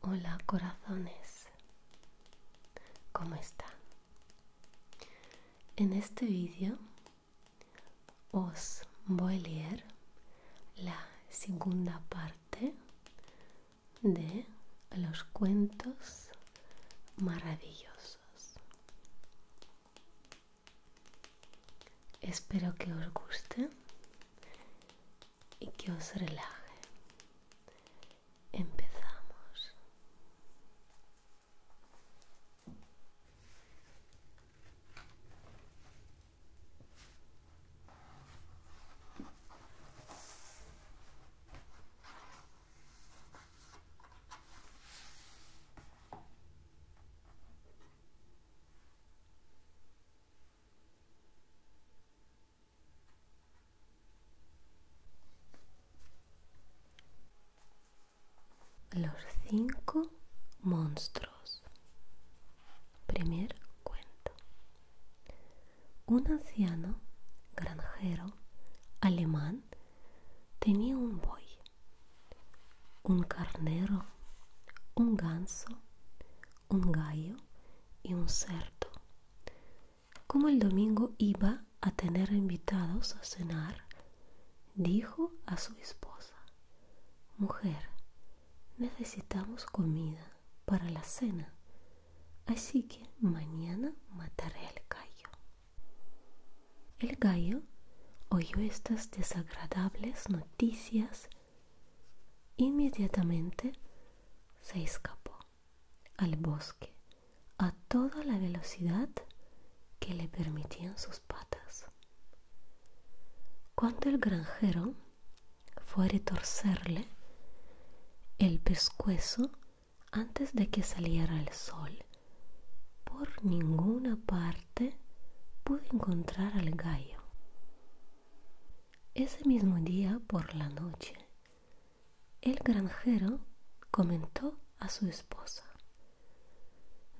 Hola corazones, ¿cómo está? En este vídeo os voy a leer la segunda parte de los cuentos maravillosos. Espero que os guste y que os relaje. Empezamos. Los cinco monstruos. Primer cuento. Un anciano granjero alemán tenía un buey, un carnero, un ganso, un gallo y un cerdo. Como el domingo iba a tener invitados a cenar, dijo a su esposa, Mujer, necesitamos comida para la cena, así que mañana mataré al gallo. El gallo oyó estas desagradables noticias Inmediatamente se escapó al bosque a toda la velocidad que le permitían sus patas. Cuando el granjero fue a retorcerle el pescuezo antes de que saliera el sol, por ninguna parte pudo encontrar al gallo. Ese mismo día por la noche, el granjero comentó a su esposa,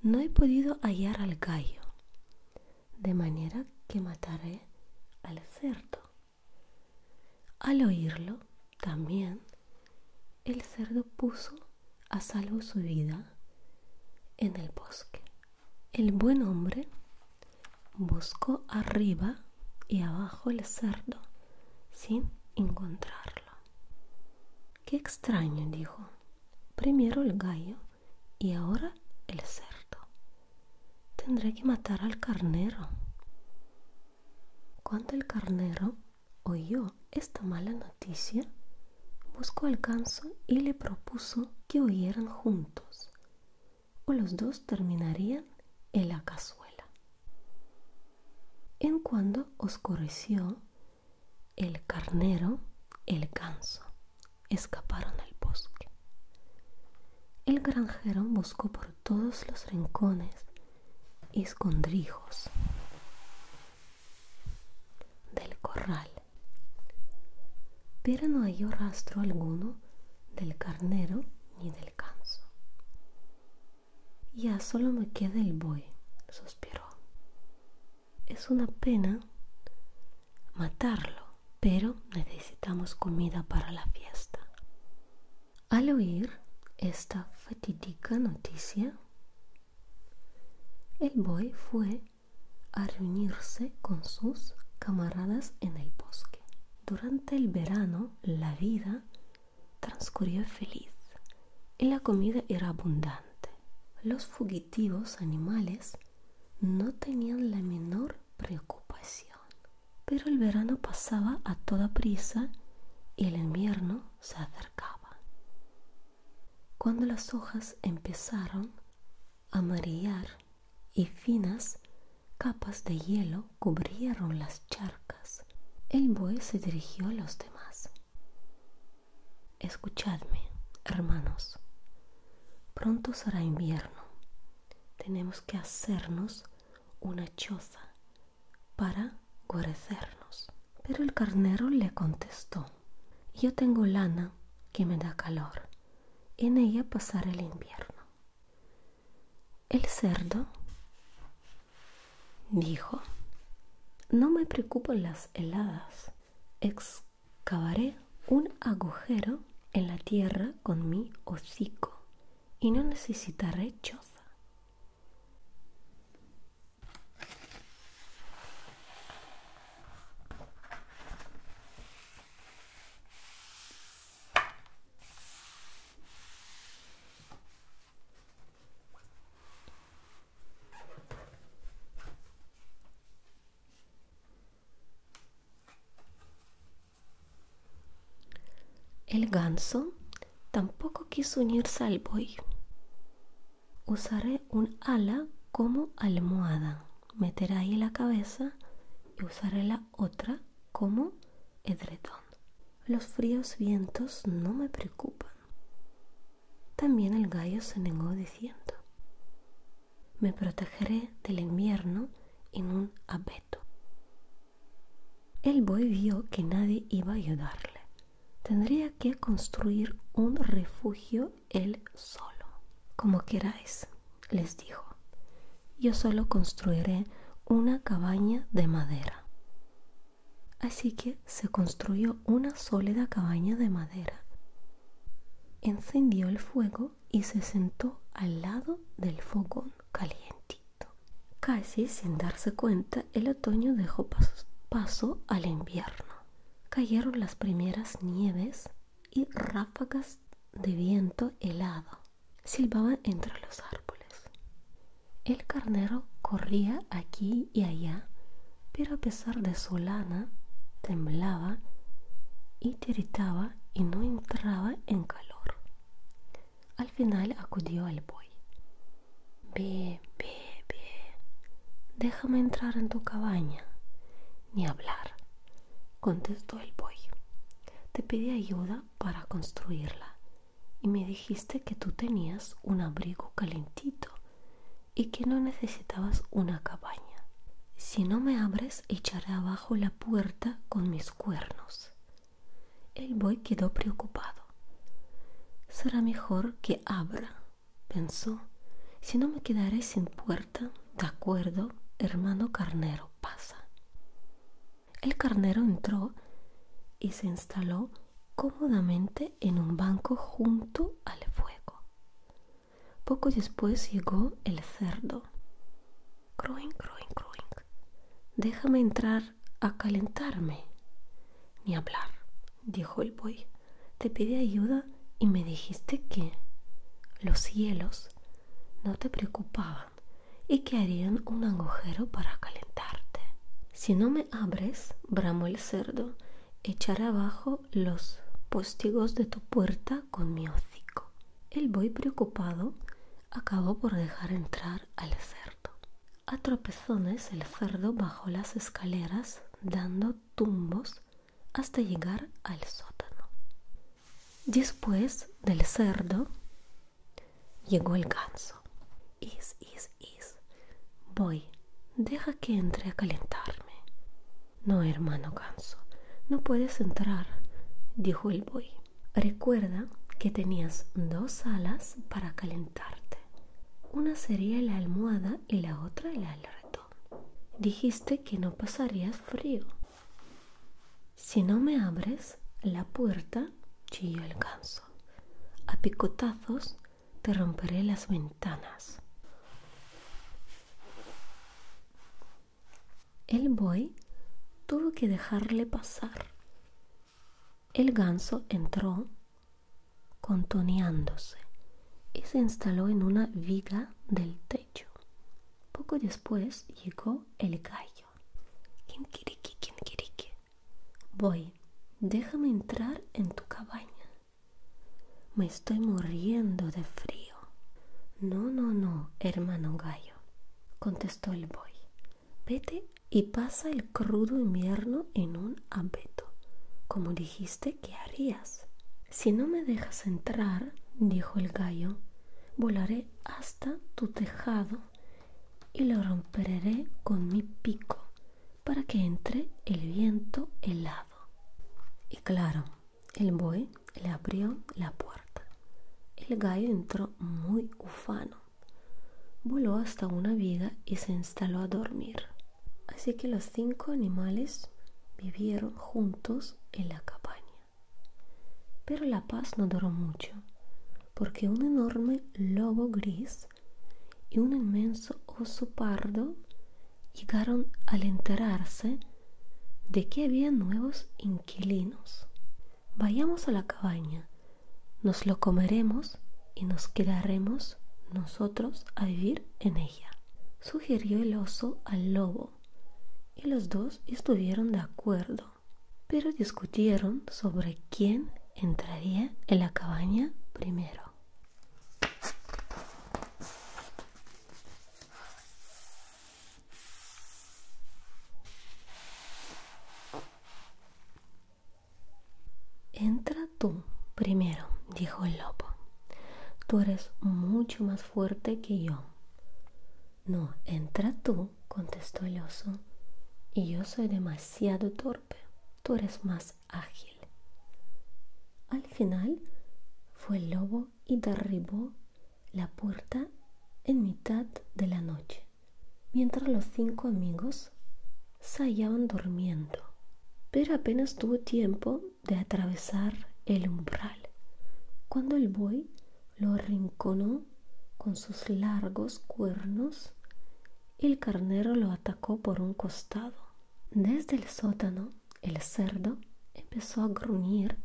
no he podido hallar al gallo, de manera que mataré al cerdo. Al oírlo, también, el cerdo puso a salvo su vida en el bosque. El buen hombre buscó arriba y abajo el cerdo sin encontrarlo. Qué extraño, dijo. Primero el gallo y ahora el cerdo. Tendré que matar al carnero. Cuando el carnero oyó esta mala noticia, buscó al ganso y le propuso que huyeran juntos o los dos terminarían en la cazuela. En cuando oscureció, el carnero, el ganso, escaparon al bosque. El granjero buscó por todos los rincones y escondrijos del corral pero no halló rastro alguno del carnero ni del ganso. Ya solo me queda el buey, suspiró. Es una pena matarlo, pero necesitamos comida para la fiesta. Al oír esta fatídica noticia, el buey fue a reunirse con sus camaradas en el bosque. Durante el verano la vida transcurrió feliz y la comida era abundante. Los fugitivos animales no tenían la menor preocupación. Pero el verano pasaba a toda prisa y el invierno se acercaba. Cuando las hojas empezaron a amarillar y finas capas de hielo cubrieron las charcas. El buey se dirigió a los demás. Escuchadme, hermanos. Pronto será invierno. Tenemos que hacernos una choza para guarecernos. Pero el carnero le contestó, yo tengo lana que me da calor en ella pasar el invierno. El cerdo dijo, no me preocupan las heladas, excavaré un agujero en la tierra con mi hocico y no necesitaré choza. El ganso tampoco quiso unirse al boy. Usaré un ala como almohada meter ahí la cabeza y usaré la otra como edredón. Los fríos vientos no me preocupan. También el gallo se negó diciendo, me protegeré del invierno en un abeto. El buey vio que nadie iba a ayudarle. Tendría que construir un refugio él solo. Como queráis, les dijo, yo solo construiré una cabaña de madera. Así que se construyó una sólida cabaña de madera. Encendió el fuego y se sentó al lado del fogón calientito. Casi sin darse cuenta, el otoño dejó paso al invierno. Cayeron las primeras nieves y ráfagas de viento helado silbaban entre los árboles. El carnero corría aquí y allá, pero a pesar de su lana, temblaba y tiritaba y no entraba en calor. Al final acudió al buey. Ve, ve, ve, déjame entrar en tu cabaña. Ni hablar contestó el boy. Te pedí ayuda para construirla y me dijiste que tú tenías un abrigo calentito y que no necesitabas una cabaña. Si no me abres, echaré abajo la puerta con mis cuernos. El boy quedó preocupado. Será mejor que abra, pensó. Si no me quedaré sin puerta de acuerdo, hermano carnero, pasa. El carnero entró y se instaló cómodamente en un banco junto al fuego. Poco después llegó el cerdo. Cruing, Cruing, Cruing, Déjame entrar a calentarme. Ni hablar, dijo el buey. Te pide ayuda y me dijiste que los cielos no te preocupaban y que harían un agujero para calentarte. Si no me abres, bramo el cerdo, echaré abajo los postigos de tu puerta con mi hocico. El boy preocupado acabó por dejar entrar al cerdo. A tropezones el cerdo bajó las escaleras dando tumbos hasta llegar al sótano. Después del cerdo llegó el ganso. Is, is, is. Voy, deja que entre a calentarme. No, hermano ganso, no puedes entrar, dijo el boy Recuerda que tenías dos alas para calentarte. Una sería la almohada y la otra el alrededor. Dijiste que no pasarías frío. Si no me abres la puerta, chilló el ganso. A picotazos te romperé las ventanas. El buey tuvo que dejarle pasar. El ganso entró contoneándose y se instaló en una viga del poco después llegó el gallo. quiere que Voy, déjame entrar en tu cabaña. Me estoy muriendo de frío. No, no, no, hermano gallo, contestó el boy. Vete y pasa el crudo invierno en un abeto, como dijiste que harías. Si no me dejas entrar, dijo el gallo, volaré hasta tu tejado y lo romperé con mi pico para que entre el viento helado. Y claro, el buey le abrió la puerta. El gallo entró muy ufano. Voló hasta una viga y se instaló a dormir. Así que los cinco animales vivieron juntos en la cabaña. Pero la paz no duró mucho, porque un enorme lobo gris y un inmenso oso pardo llegaron al enterarse de que había nuevos inquilinos. Vayamos a la cabaña, nos lo comeremos y nos quedaremos nosotros a vivir en ella, sugirió el oso al lobo y los dos estuvieron de acuerdo, pero discutieron sobre quién entraría en la cabaña primero. Entra tú primero, dijo el lobo. Tú eres mucho más fuerte que yo. No, entra tú, contestó el oso, y yo soy demasiado torpe, tú eres más ágil. Al final fue el lobo y derribó la puerta en mitad de la noche, mientras los cinco amigos se hallaban durmiendo. Pero apenas tuvo tiempo de atravesar el umbral, cuando el buey lo arrinconó con sus largos cuernos el carnero lo atacó por un costado. Desde el sótano, el cerdo empezó a gruñir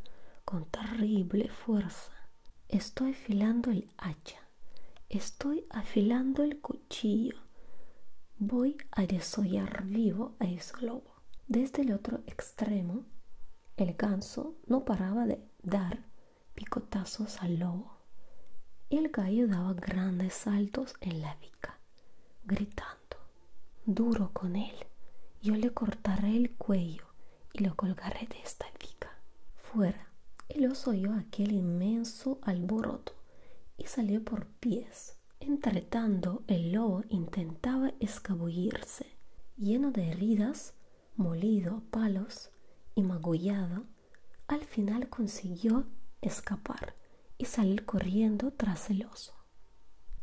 con terrible fuerza. Estoy afilando el hacha, estoy afilando el cuchillo, voy a desollar vivo a lobo desde el este otro extremo, el ganso no paraba de dar picotazos al lobo el gallo daba grandes saltos en la vica, gritando, duro con él, yo le cortaré el cuello y lo colgaré de esta vica. Fuera, el oso oyó aquel inmenso alboroto y salió por pies. Entretanto, el lobo intentaba escabullirse lleno de heridas, molido a palos y magullado, al final consiguió escapar y salir corriendo tras el oso.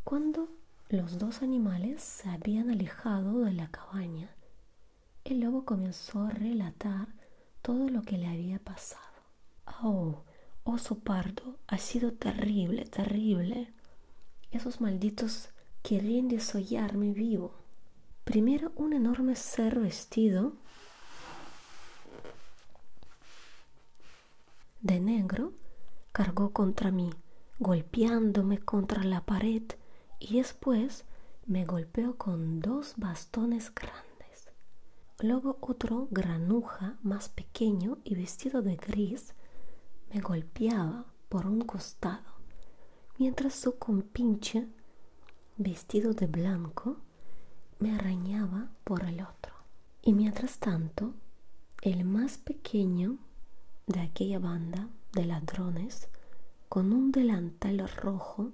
Cuando los dos animales se habían alejado de la cabaña, el lobo comenzó a relatar todo lo que le había pasado. Oh, oso pardo, ha sido terrible, terrible esos malditos querían desollarme vivo. Primero un enorme ser vestido de negro cargó contra mí, golpeándome contra la pared y después me golpeó con dos bastones grandes. Luego otro granuja más pequeño y vestido de gris, me golpeaba por un costado, mientras su compinche, vestido de blanco, me arañaba por el otro. Y mientras tanto, el más pequeño de aquella banda de ladrones, con un delantal rojo,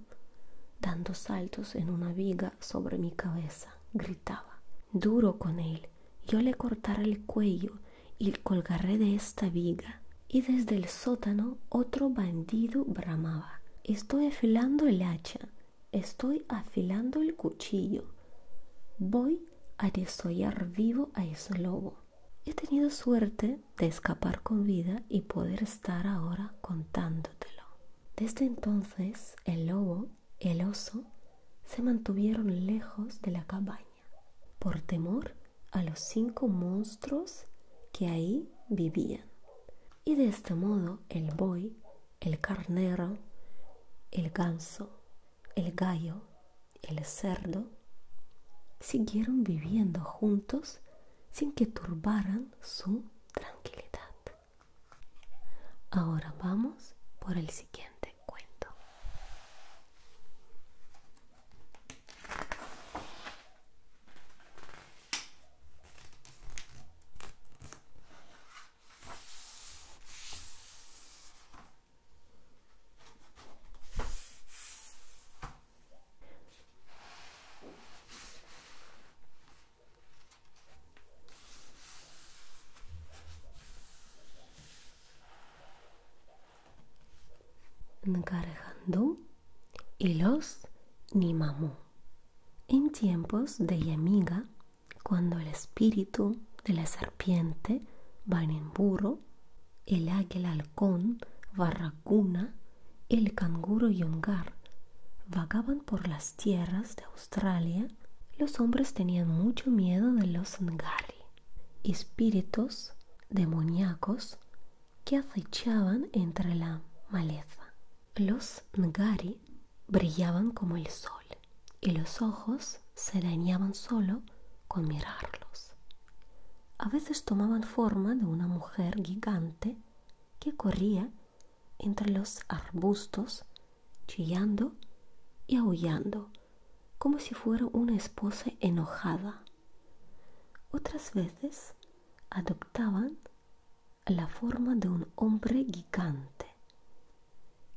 dando saltos en una viga sobre mi cabeza, gritaba, duro con él, yo le cortaré el cuello y colgaré de esta viga. Y desde el sótano otro bandido bramaba. Estoy afilando el hacha, estoy afilando el cuchillo. Voy a desollar vivo a ese lobo. He tenido suerte de escapar con vida y poder estar ahora contándotelo. Desde entonces el lobo, el oso, se mantuvieron lejos de la cabaña por temor a los cinco monstruos que ahí vivían. Y de este modo el buey, el carnero, el ganso, el gallo, el cerdo, siguieron viviendo juntos sin que turbaran su tranquilidad. Ahora vamos por el siguiente cuento. Ngarjandú y los Nimamú En tiempos de Yamiga, cuando el espíritu de la serpiente, burro el águila halcón, Barracuna, el canguro yongar vagaban por las tierras de Australia, los hombres tenían mucho miedo de los Ngari espíritus demoníacos que acechaban entre la maleza. Los ngari brillaban como el sol y los ojos se dañaban solo con mirarlos. A veces tomaban forma de una mujer gigante que corría entre los arbustos chillando y aullando como si fuera una esposa enojada. Otras veces adoptaban la forma de un hombre gigante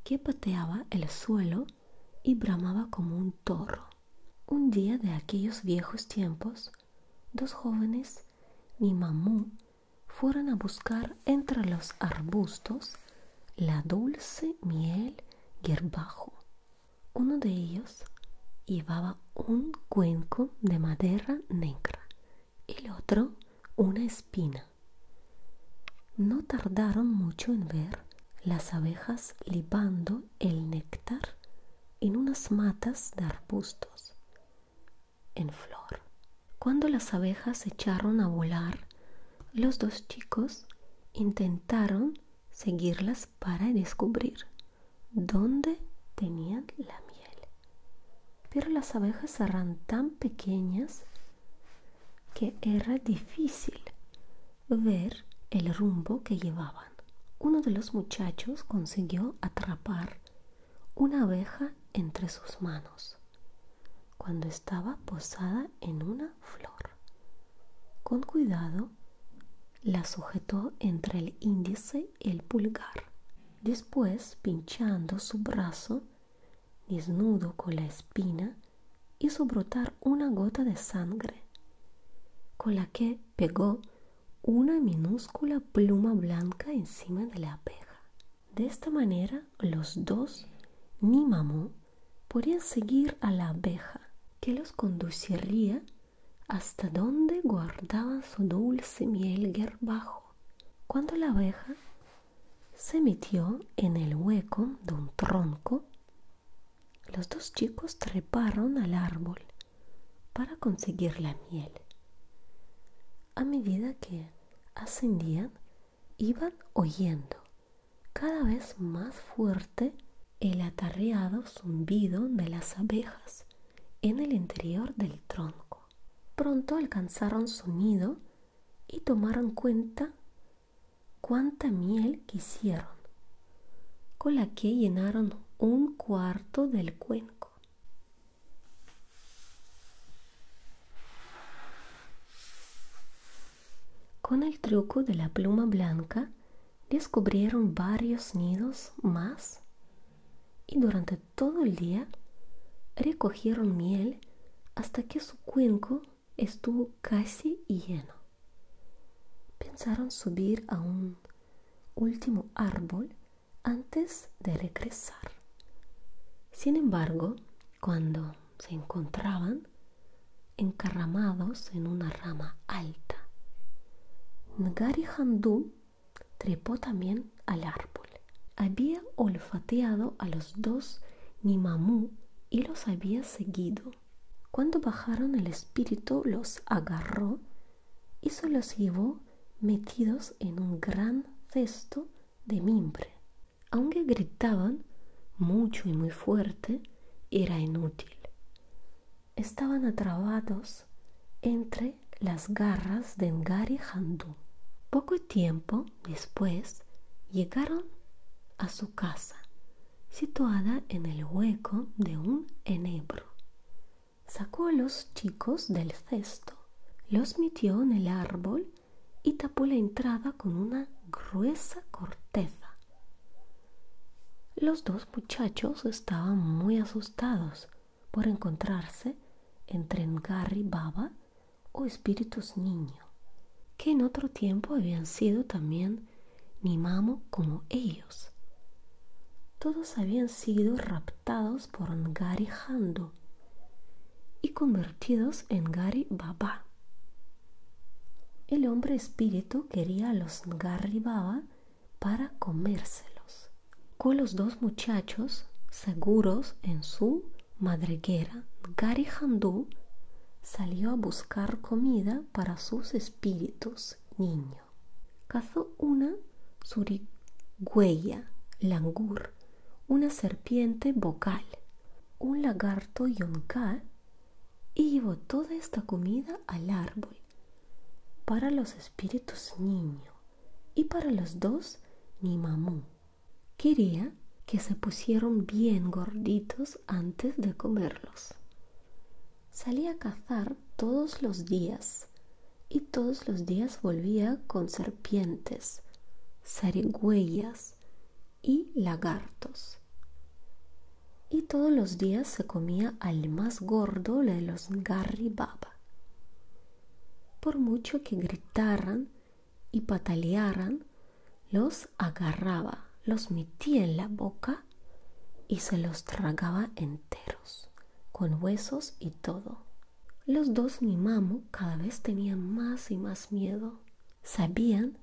que pateaba el suelo y bramaba como un toro. Un día de aquellos viejos tiempos, dos jóvenes, mi mamú, fueron a buscar entre los arbustos la dulce miel Gerbajo. Uno de ellos llevaba un cuenco de madera negra, y el otro una espina. No tardaron mucho en ver las abejas libando el néctar en unas matas de arbustos en flor. Cuando las abejas echaron a volar los dos chicos intentaron seguirlas para descubrir dónde tenían la miel. Pero las abejas eran tan pequeñas que era difícil ver el rumbo que llevaban. Uno de los muchachos consiguió atrapar una abeja entre sus manos cuando estaba posada en una flor. Con cuidado, la sujetó entre el índice y el pulgar. Después, pinchando su brazo, desnudo con la espina, hizo brotar una gota de sangre, con la que pegó una minúscula pluma blanca encima de la abeja. De esta manera, los dos, ni podían seguir a la abeja, que los conduciría hasta donde guardaban su dulce miel guerbajo. Cuando la abeja se metió en el hueco de un tronco, los dos chicos treparon al árbol para conseguir la miel. A medida que ascendían, iban oyendo cada vez más fuerte el atarreado zumbido de las abejas en el interior del tronco. Pronto alcanzaron su nido y tomaron cuenta cuánta miel quisieron, con la que llenaron un cuarto del cuenco. Con el truco de la pluma blanca descubrieron varios nidos más y durante todo el día recogieron miel hasta que su cuenco estuvo casi lleno. Pensaron subir a un último árbol antes de regresar. Sin embargo, cuando se encontraban encaramados en una rama alta. Ngari Handu trepó también al árbol. Había olfateado a los dos Nimamú y los había seguido. Cuando bajaron el espíritu los agarró y se los llevó metidos en un gran cesto de mimbre aunque gritaban mucho y muy fuerte, era inútil. Estaban atrapados entre las garras de Ngari Handú. Poco tiempo después llegaron a su casa, situada en el hueco de un enebro. Sacó a los chicos del cesto, los metió en el árbol y tapó la entrada con una gruesa corteza. Los dos muchachos estaban muy asustados por encontrarse entre Ngari Baba o espíritus niño, que en otro tiempo habían sido también Nimamo como ellos. Todos habían sido raptados por Ngari Hando y convertidos en Ngari Baba, el hombre espíritu quería a los Ngarribaba para comérselos. Con los dos muchachos seguros en su madriguera, Ngari salió a buscar comida para sus espíritus niño. Cazó una surigüeya, langur, una serpiente vocal, un lagarto yonká y llevó toda esta comida al árbol para los espíritus niño y para los dos mi mamú. Quería que se pusieron bien gorditos antes de comerlos. Salía a cazar todos los días y todos los días volvía con serpientes, zarigüeyas y lagartos. Y todos los días se comía al más gordo de los Garribaba. Por mucho que gritaran y patalearan, los agarraba, los metía en la boca y se los tragaba enteros, con huesos y todo. Los dos mi mamu cada vez tenían más y más miedo. Sabían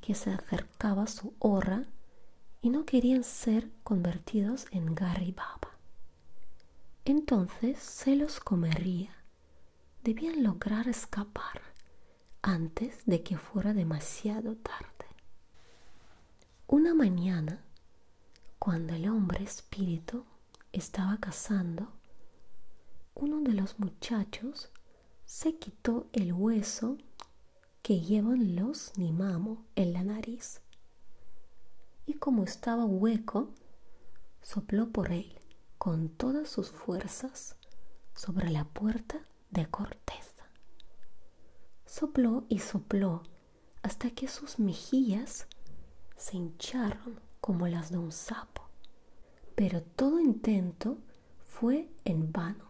que se acercaba su hora y no querían ser convertidos en garribaba. Entonces se los comería. Debían lograr escapar antes de que fuera demasiado tarde. Una mañana, cuando el hombre espíritu estaba cazando, uno de los muchachos se quitó el hueso que llevan los nimamo en la nariz y como estaba hueco, sopló por él con todas sus fuerzas sobre la puerta de corteza. Sopló y sopló hasta que sus mejillas se hincharon como las de un sapo. Pero todo intento fue en vano.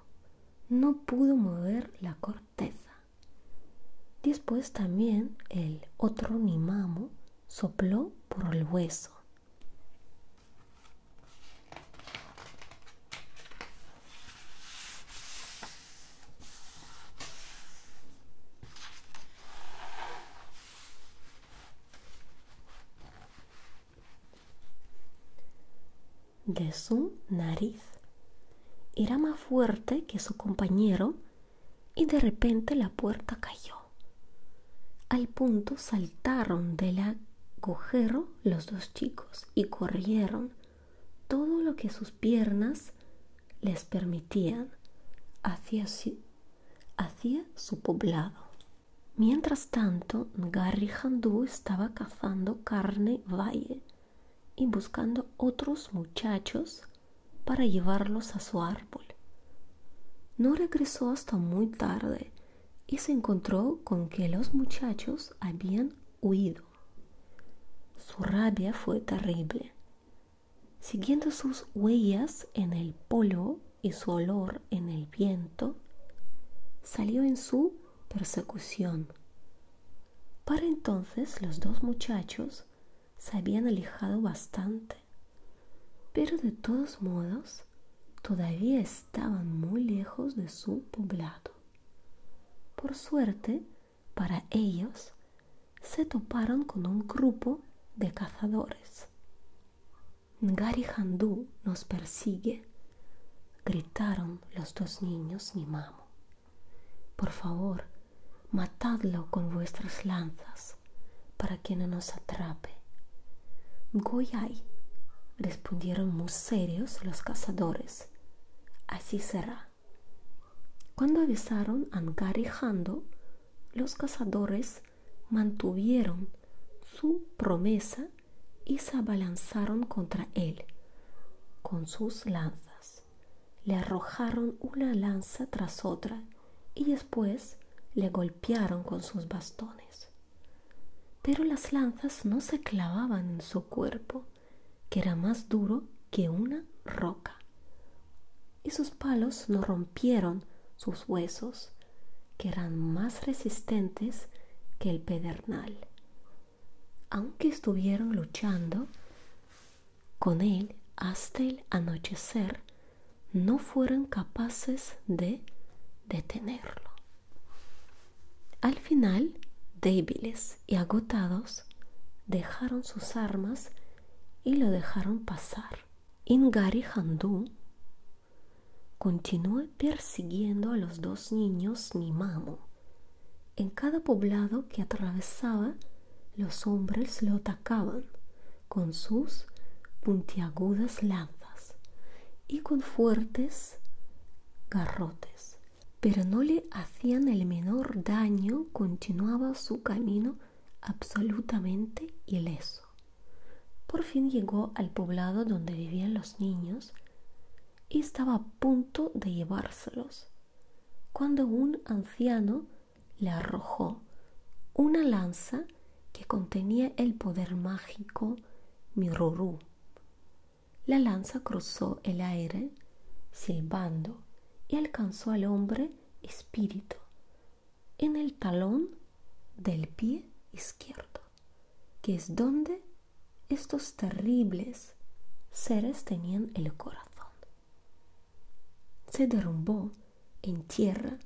No pudo mover la corteza. Después también el otro mimamo sopló por el hueso de su nariz. Era más fuerte que su compañero y de repente la puerta cayó. Al punto saltaron del agujero los dos chicos y corrieron todo lo que sus piernas les permitían hacia su, hacia su poblado. Mientras tanto, Garry Handú estaba cazando carne valle y buscando otros muchachos para llevarlos a su árbol. No regresó hasta muy tarde y se encontró con que los muchachos habían huido. Su rabia fue terrible. Siguiendo sus huellas en el polo, y su olor en el viento, salió en su persecución. Para entonces los dos muchachos se habían alejado bastante, pero de todos modos todavía estaban muy lejos de su poblado. Por suerte, para ellos, se toparon con un grupo de cazadores. Ngari nos persigue, gritaron los dos niños mi mamo Por favor, matadlo con vuestras lanzas para que no nos atrape. Goyay, respondieron muy serios los cazadores. Así será. Cuando avisaron a Ngari los cazadores mantuvieron su promesa y se abalanzaron contra él con sus lanzas. Le arrojaron una lanza tras otra y después le golpearon con sus bastones. Pero las lanzas no se clavaban en su cuerpo, que era más duro que una roca, y sus palos no rompieron sus huesos, que eran más resistentes que el pedernal. Aunque estuvieron luchando con él hasta el anochecer, no fueron capaces de detenerlo. Al final, débiles y agotados, dejaron sus armas y lo dejaron pasar. Ingari Continué persiguiendo a los dos niños mamo, En cada poblado que atravesaba, los hombres lo atacaban con sus puntiagudas lanzas y con fuertes garrotes, pero no le hacían el menor daño, continuaba su camino absolutamente ileso. Por fin llegó al poblado donde vivían los niños y estaba a punto de llevárselos, cuando un anciano le arrojó una lanza que contenía el poder mágico Mirorú. La lanza cruzó el aire silbando y alcanzó al hombre espíritu en el talón del pie izquierdo que es donde estos terribles seres tenían el corazón. Se derrumbó en tierra,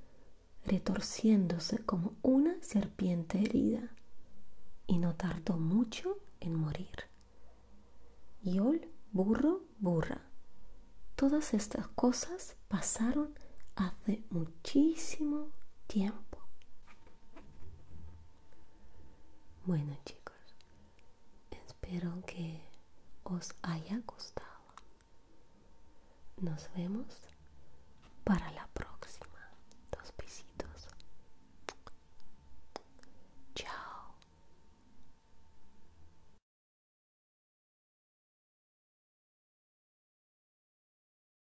retorciéndose como una serpiente herida, y no tardó mucho en morir. Yol, burro, burra. Todas estas cosas pasaron hace muchísimo tiempo. Bueno chicos, espero que os haya gustado. Nos vemos para la próxima. Dos besitos. Chao.